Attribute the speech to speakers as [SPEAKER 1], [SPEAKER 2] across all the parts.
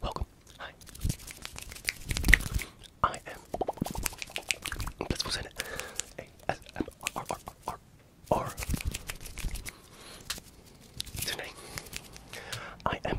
[SPEAKER 1] Welcome. Hi. I am. Let's was I am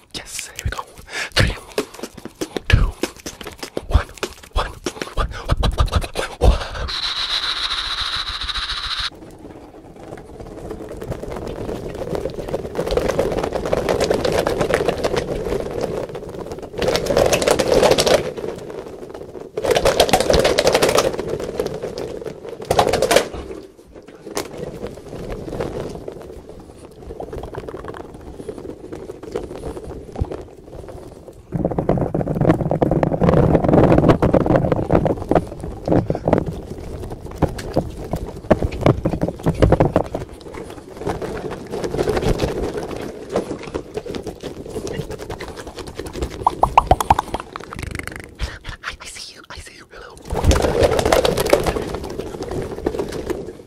[SPEAKER 1] Yes, here we go. Three, two, one, one, one, one, one, I, I see you. I see you. Hello.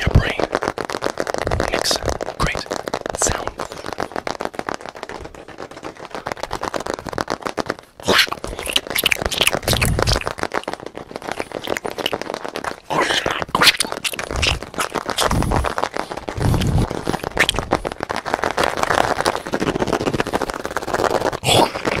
[SPEAKER 1] Your brain makes great sound.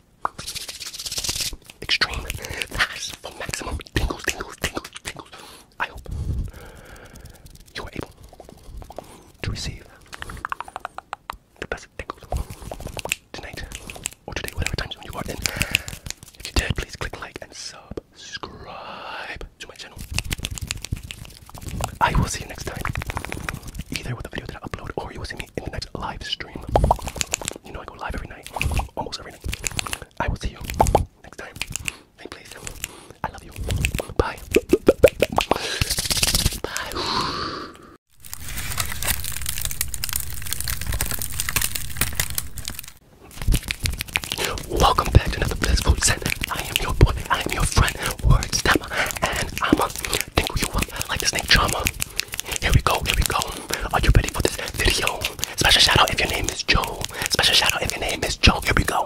[SPEAKER 1] Extreme fast maximum tingles, tingles, tingles, tingles. I hope you are able to receive the best tingles tonight or today, whatever time zone you are in. If you did, please click like and subscribe to my channel. I will see you next time, either with the video that I upload or you will see in the next live stream. You know I go live every night, almost every night. I will see you next time. And please, I love you. Bye. Bye. Welcome back to another blissful set. I am your boy. I am your friend. Word stammer, and i am going you up like snake charmer. Here we go, here we go. Are you ready for this video? Special shout out if your name is Joe. Special shout out if your name is Joe. Here we go.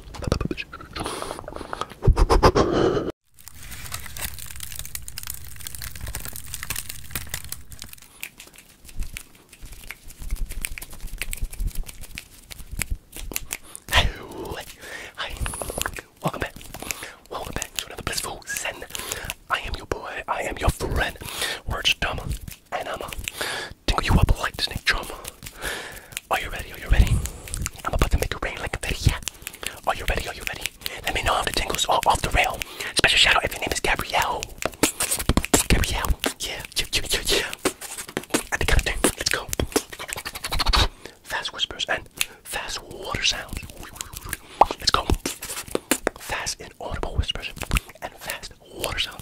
[SPEAKER 1] Hello, welcome back, welcome back to another blissful Zen. I am your boy, I am your friend, We're just Dumb, and I'm Tingle you up like snake drum. Are you ready? Are you ready? I'm about to make it rain like confetti, yeah. Are you ready? Are you ready? Let me know if the tingles are off the rail. Special shout out if your name is Gabrielle. Gabrielle, yeah, yeah, yeah, yeah, yeah. At the kind of thing, let's go. Fast whispers and fast water sounds. Let's go. Fast inaudible whispers and fast water sounds.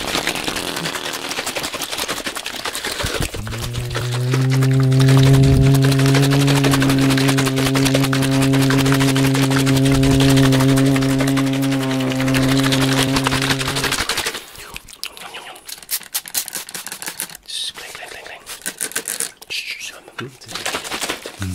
[SPEAKER 1] Cling, cling, cling, cling. Shh, shh, shh. Mm.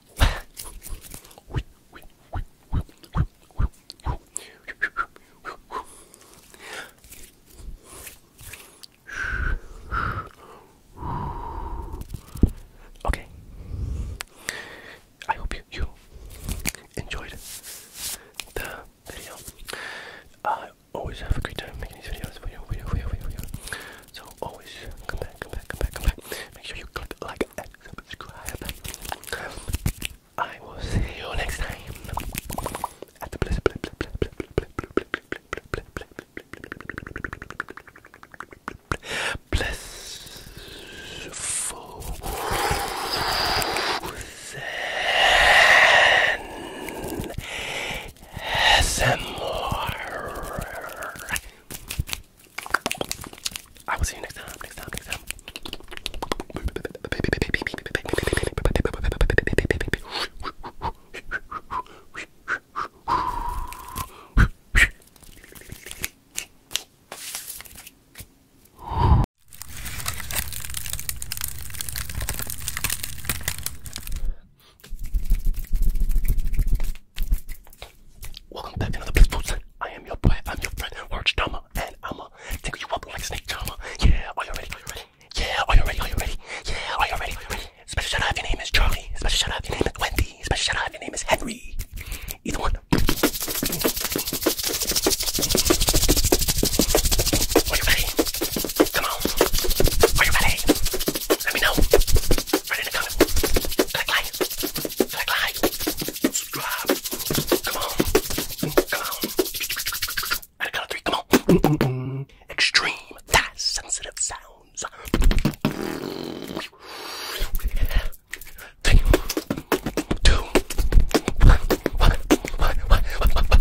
[SPEAKER 1] Okay. I hope you, you enjoyed the video. I always have a great time making these videos So always come back, come back, come back, come back. Make sure you click like subscribe. I will see you next time at the bliss. I will see you next time. Next time. Next time. Welcome back to another Bliss Food I am your boy, I'm your friend, Orange Dama, and I'ma tickle you up like Snake Charmer. Yeah, are you ready? Are you ready? Yeah, are you ready? Are you ready? Yeah, are you ready? Are you ready? Special shout out if your name is Charlie. Special shout out if your name is Wendy. Special shout out if your name is Henry. Either one. Are you ready? Come on. Are you ready? Let me know. Right in the comment. Click like. Click like, subscribe. Come on, come on. At a count of three, come on. Mm -mm -mm. Extreme, fast, sensitive sounds. Three, two, one, one, one, one, one, one, one.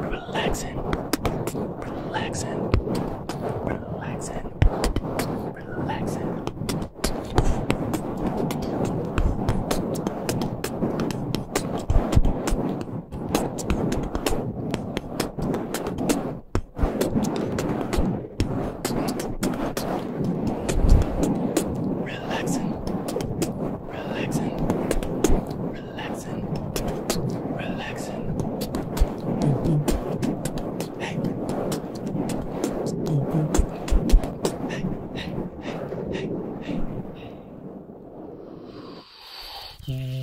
[SPEAKER 1] Relaxing. Relaxing. Relaxing. Relaxing. Relaxing relaxing, relaxing, relaxing. Hey, hey, hey, hey, hey, hey.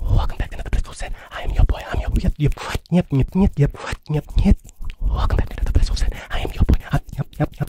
[SPEAKER 1] Welcome back to another blissful set. I am your boy. I'm your yep yep yep yep yep yep yep yep. Welcome back to another blissful set. I am your boy. I'm, yep yep yep.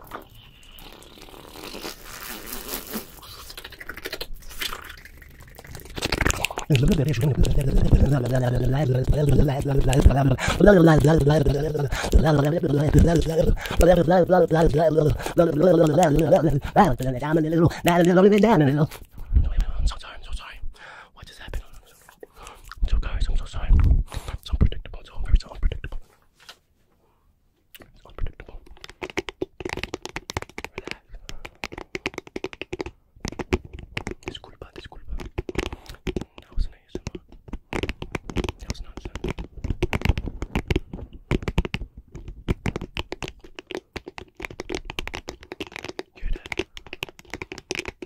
[SPEAKER 1] I'm so sorry. I'm so sorry. What just happened? So guys, I'm so sorry. It's unpredictable. It's all very it's predictable. It's unpredictable. Relax. Disculpa, disculpa. That was an That was nonsense. Hear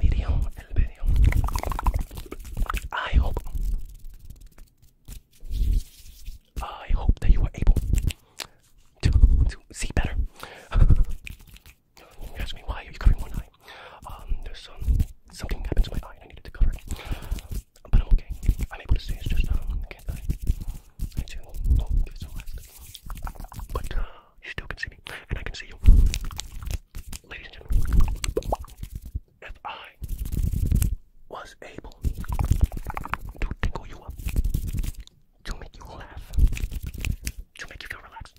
[SPEAKER 1] video, I hope, I hope that you were able to see better. ask me why are you covering one eye? Um, there's um, something happened to my eye I needed to cover it, but I'm okay. I'm able to see. It's just um, can't I? I do. Oh, it's so last. But uh, you still can see me, and I can see you ladies if I was able to tickle you up, to make you laugh, to make you feel relaxed,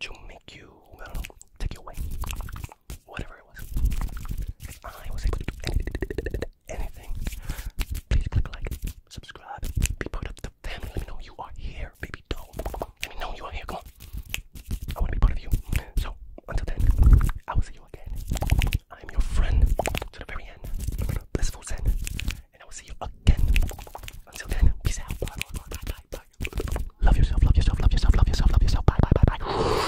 [SPEAKER 1] to make you, take you away, whatever it was, if I was able to do anything, please click like, subscribe, be part of the family, let me know you are here, be let me know you are here. Come on. I want to be part of you. So, until then, I will see you again. I am your friend to the very end. Blissful Zen. And I will see you again. Until then, peace out. Bye, bye, bye, bye, bye, bye. Love yourself, love yourself, love yourself, love yourself, love yourself. Bye, bye, bye, bye.